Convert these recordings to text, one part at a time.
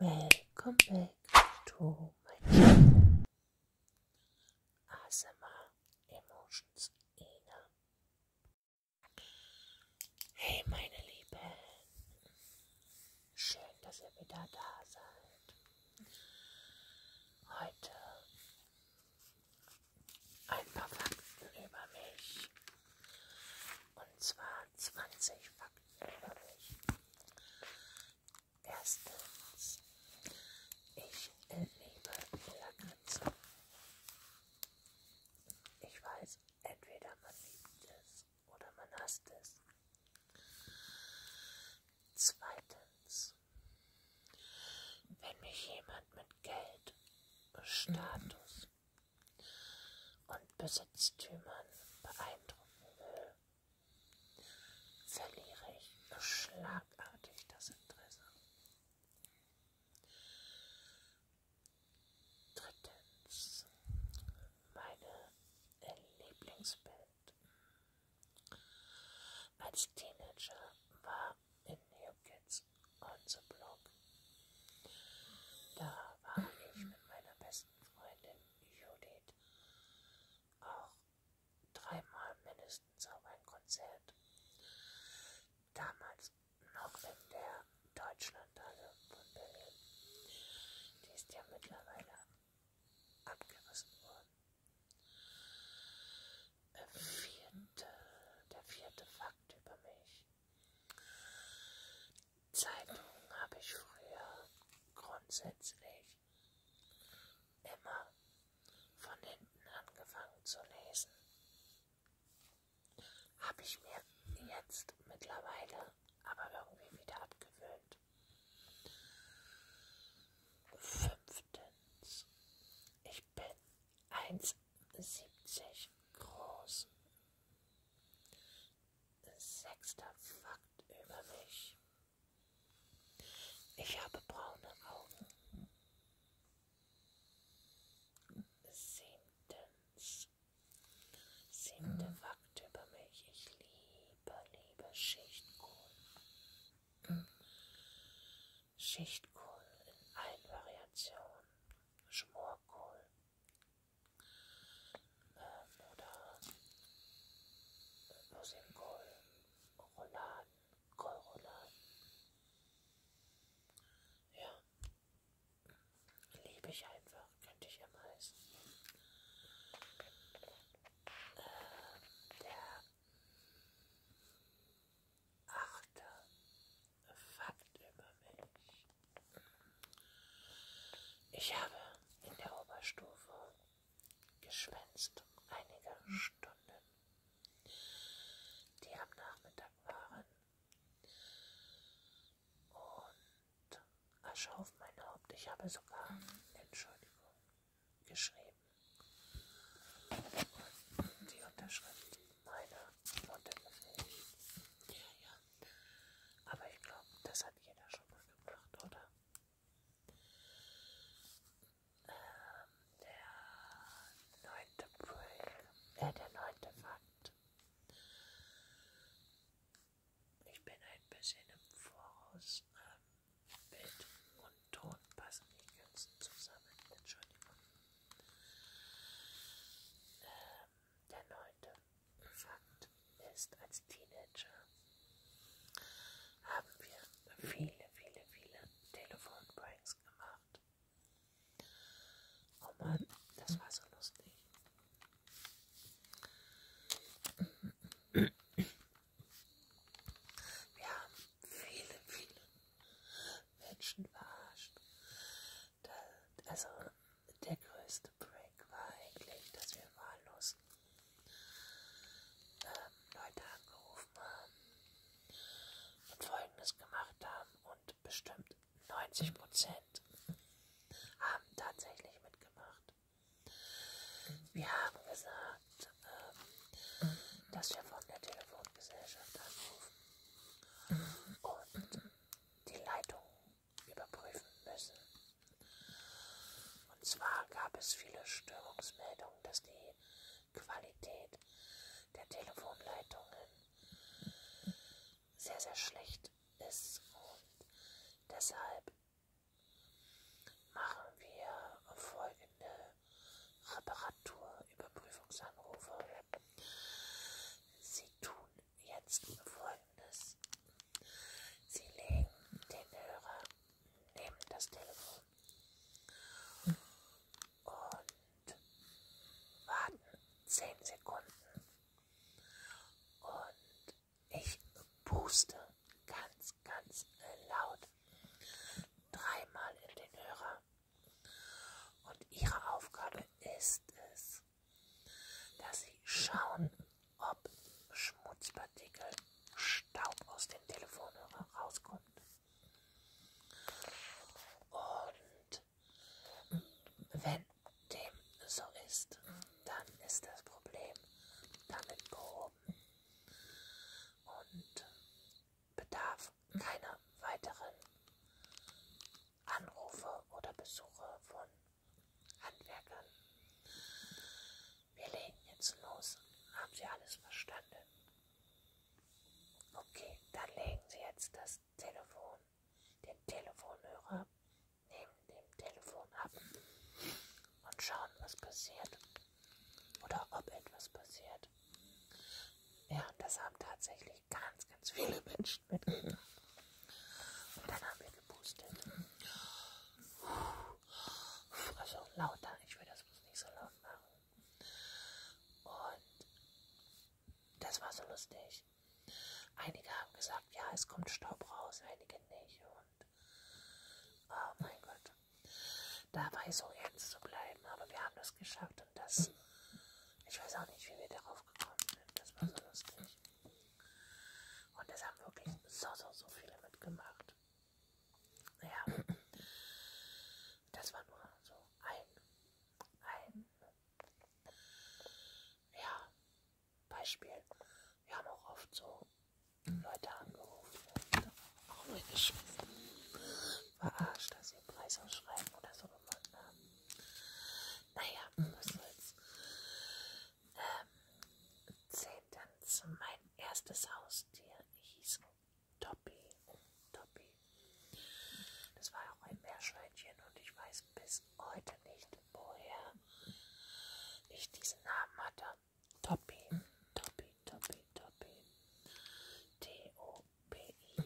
Welcome back to my channel. ASMR Emotions Ina. Hey meine Liebe, schön, dass ihr wieder da seid. Heute ein paar Fakten über mich. Und zwar 20 Fakten über mich. Erstens, ich liebe Lackritze. Ich weiß, entweder man liebt es oder man hasst es. Zweitens, wenn mich jemand mit Geld, Status und Besitztümern beeindrucken will, verliere ich schlagartig das Interesse. Drittens, meine Lieblingsbild. Als Teenager war in New Kids on the Block. Da war ich mit meiner besten besten Freundin Judith auch dreimal mindestens auf ein Konzert. Damals noch in der Deutschlandhalle von Berlin. Die ist ja mittlerweile abgerissen worden. Vierte, der vierte Fakt über mich. Zeitungen habe ich früher grundsätzlich immer von hinten angefangen zu lesen. Habe ich mir jetzt mittlerweile aber irgendwie wieder abgewöhnt. Fünftens, ich bin 1,70 groß. Sechster Fakt über mich. Ich habe braune Augen. Siebtens. Siebter Fakt über mich. Ich liebe, liebe Schichtkohl. Schichtkohl in allen Variationen. Schmorkohl, ähm, oder Rosinkohl, Rouladen, Kohlrouladen. Ja, liebe ich einfach, könnte ich am meisten. Ähm, der achte Fakt über mich. Ich habe in der Oberstufe geschwänzt einige Stunden, die am Nachmittag waren und Asche auf mein Haupt. Ich habe sogar Entschuldigung geschrieben. Und die Unterschrift meiner Mutter gefällt. Ja, ja. Aber ich glaube, das hat jeder schon mal gemacht, oder? Ähm, der neunte Break, äh, der neunte Fakt. Ich bin ein bisschen im Voraus. Ähm, Bild und Ton passen nicht ganz zusammen. Entschuldigung. Ähm, der neunte Fakt ist, als Teenager haben wir viele, viele, viele Telefonpranks gemacht. Oh Mann, das war so lustig. Wir haben viele, viele Menschen verarscht da, also der größte Break war eigentlich, dass wir wahllos ähm, Leute angerufen haben und Folgendes gemacht haben und bestimmt 90 Prozent haben tatsächlich mitgemacht. Wir haben gesagt, ähm, dass wir von der Telefongesellschaft anrufen und die Leitungen überprüfen müssen. Und zwar gab es viele Störungsmeldungen, dass die Qualität der Telefonleitungen sehr, sehr schlecht ist. Und deshalb machen wir folgende Reparaturüberprüfungsanrufe. Sie tun jetzt folgendes. Sie legen den Hörer neben das Telefon und warten zehn Sekunden. Und ich puste ganz, ganz laut dreimal in den Hörer. Und ihre Aufgabe ist es, dass sie schauen, ob Schmutzpartikel, Staub aus dem Telefonhörer rauskommt. Und wenn dem so ist, dann ist das Problem damit behoben und bedarf keiner weiteren Anrufe oder Besuche von Handwerkern. Wir legen jetzt los. Haben Sie alles verstanden? Okay, dann legen Sie jetzt das Telefon, den Telefonhörer neben dem Telefon ab und schauen, was passiert oder ob etwas passiert. Ja, das haben tatsächlich wirklich ganz, ganz viele Menschen mitgenommen. Und dann haben wir gepustet. Also lauter, ich will das bloß nicht so laut machen. Und das war so lustig. Einige haben gesagt, ja, es kommt Staub raus, einige nicht. Und oh mein Gott, dabei so ernst zu bleiben. Aber wir haben das geschafft und das ich weiß auch nicht, wie wir darauf gekommen sind. Das war so lustig. Und es haben wirklich so, so, so viele mitgemacht. Ja. Das war nur so ein, ein, ja, Beispiel. Wir haben auch oft so Leute angerufen. Auch meine Schwester verarscht, dass sie Preisausschreiben oder so gewonnen haben. Naja, was soll's. Ähm, zehntens, mein erstes Haustier hieß Toppi. Toppi. Das war auch ein Meerschweinchen und ich weiß bis heute nicht, woher ich diesen Namen hatte. Toppi, Toppi, Toppi, Toppi. T-O. OPI.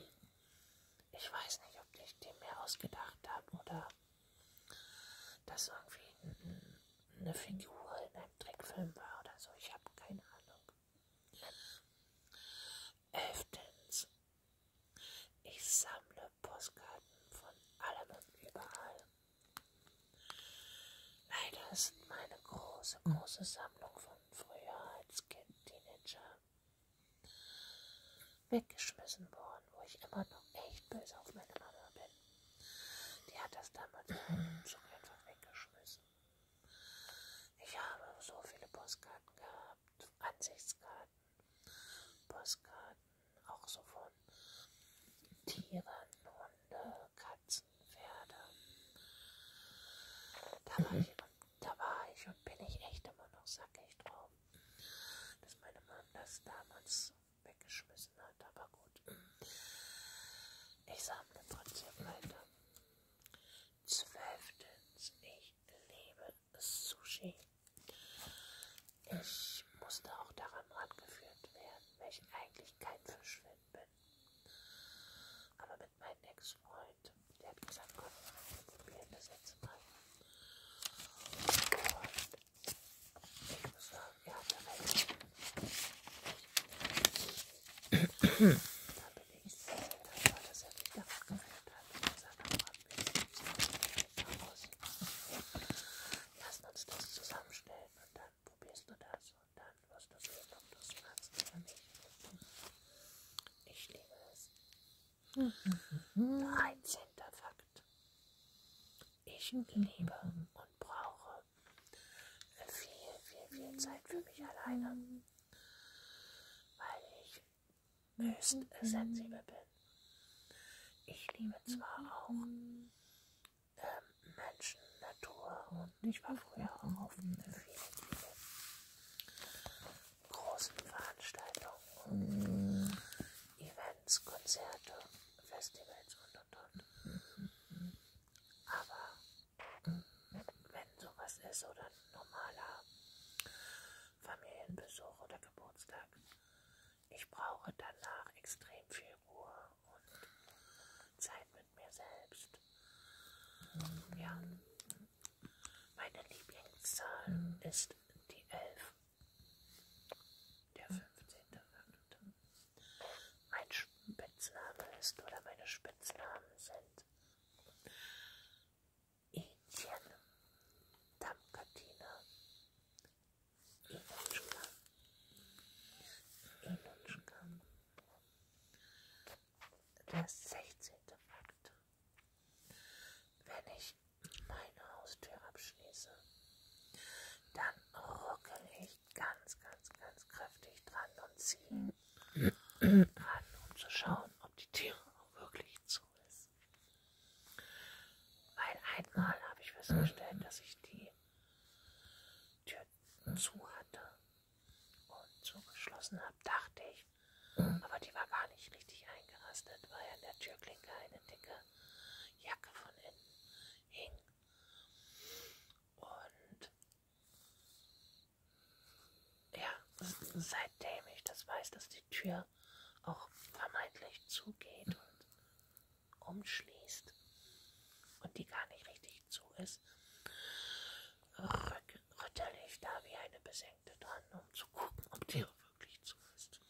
Ich weiß nicht, ob ich den mir ausgedacht habe oder dass irgendwie eine Figur in einem Trickfilm war oder so. Ich habe keine Ahnung. Elftens. Ich sammle Postkarten von allem und überall. Leider ist meine große, große Sammlung von früher als Kind, Teenager weggeschmissen worden, wo ich immer noch echt böse auf meine Mama bin. Die hat das damals in einem Zug einfach weggeschmissen. Ich habe so viele Postkarten gehabt, Ansichtskarten, Postkarten, auch so von Tieren, Hunde, Katzen, Pferde. Da war ich da war ich und bin ich echt immer noch sackig drauf, dass meine Mom das damals weggeschmissen hat, aber gut. Ich sammle trotzdem weiter. Zwölftens, ich liebe Sushi. Ich musste auch daran rangeführt werden, weil ich eigentlich kein Fischfan bin. Aber mit meinem Ex-Freund. Der hat gesagt, komm mal, wir probieren das jetzt mal. Und ich muss sagen, er hatte recht. da bin ich sehr dankbar, dass er mich davon gerettet hat. Und seiner Mann mit raus. Lass uns das zusammenstellen und dann probierst du das und dann wirst du sehen, ob du es kannst oder nicht. Ich liebe es. 13. Fakt. Ich liebe und brauche viel, viel, viel Zeit für mich alleine, weil ich höchst sensibel bin. Ich liebe zwar auch ähm, Menschen, Natur und ich war früher auch auf vielen, vielen großen Veranstaltungen, Events, Konzerte, Festivals und und und. Aber wenn sowas ist oder ein normaler Familienbesuch oder Geburtstag, ich brauche danach extrem viel Ruhe und Zeit mit mir selbst. Ja. Meine Lieblingszahl mhm. ist die 11. Der 15. Fünfte. Mein Spitzname ist, oder meine Spitznamen sind Indien, Damkatina, Inutschka, Inutschka, der 16. Fakt. Wenn ich meine Haustür abschließe, dann rucke ich ganz, ganz, ganz kräftig dran und ziehe dran, um zu schauen, ob die Tür wirklich zu ist. Weil einmal habe ich festgestellt, dass ich die Tür zu hatte und zugeschlossen habe, dachte ich. Aber die war gar nicht richtig eingerastet, weil an der Türklinke eine dicke Jacke von innen hing. Und ja, seitdem ich das weiß, dass die Tür auch vermeintlich zugeht und umschließt und die gar nicht richtig zu ist, rücke rüttel ich da wie eine Besenkte dran, um zu gucken, ob die auch wirklich zu ist.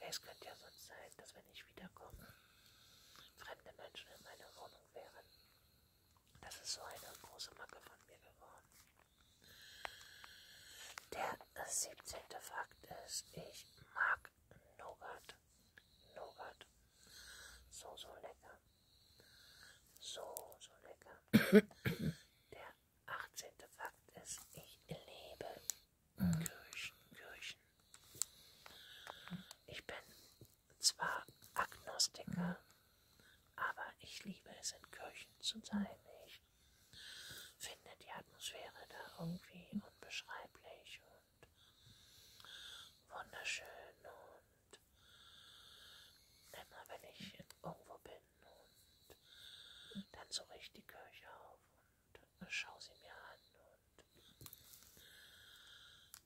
Es könnte ja sonst sein, dass wenn ich wiederkomme, fremde Menschen in meiner Wohnung wären. Das ist so eine große Macke von mir geworden. Der 17. Fakt ist, ich mag Nougat. Nougat. So, so lecker. So, so lecker. Der 18. Fakt ist, ich lebe mhm. Kirchen, Kirchen. Ich bin zwar Agnostiker, mhm. aber ich liebe es, in Kirchen zu sein. Ich finde die Atmosphäre da irgendwie unbeschreiblich und wunderschön und immer wenn ich irgendwo bin und dann suche ich die Kirche auf und äh, schaue sie mir an und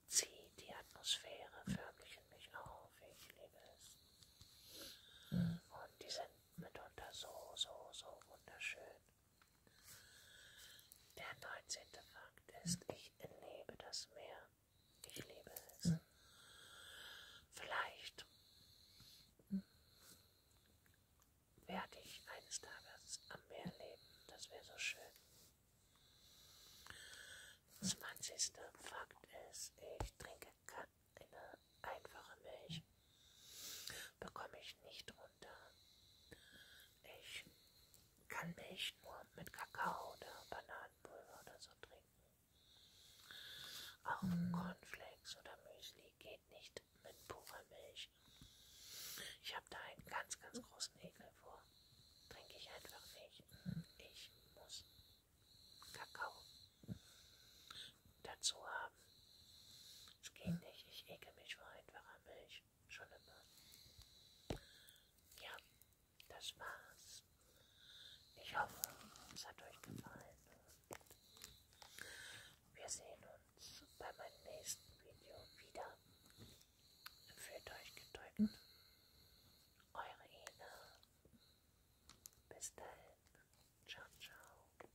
ziehe die Atmosphäre förmlich in mich auf. Ich liebe es. Und die sind mitunter so, so, so wunderschön. Der 19. Fakt ist, ich liebe das Meer. Ich liebe es. Mhm. Vielleicht mhm. werde ich eines Tages am Meer leben. Das wäre so schön. 20. Fakt ist, ich trinke keine einfache Milch. Bekomme ich nicht runter. Ich kann Milch nur mit Kakao oder Bananenpulver oder so trinken. Auch mm. Cornflakes oder Müsli geht nicht mit purer Milch. Ich habe da einen ganz, ganz großen Ekel vor. Trinke ich einfach nicht. Ich muss Kakao dazu haben. Es geht nicht. Ich ekel mich vor einfacher Milch. Schon immer. Ja, das war's. Ich hoffe, es hat euch gefallen. Und wir sehen uns bei meinem nächsten Video wieder. Fühlt euch gedrückt. Mhm. Eure Ina. Bis dahin. Ciao, ciao.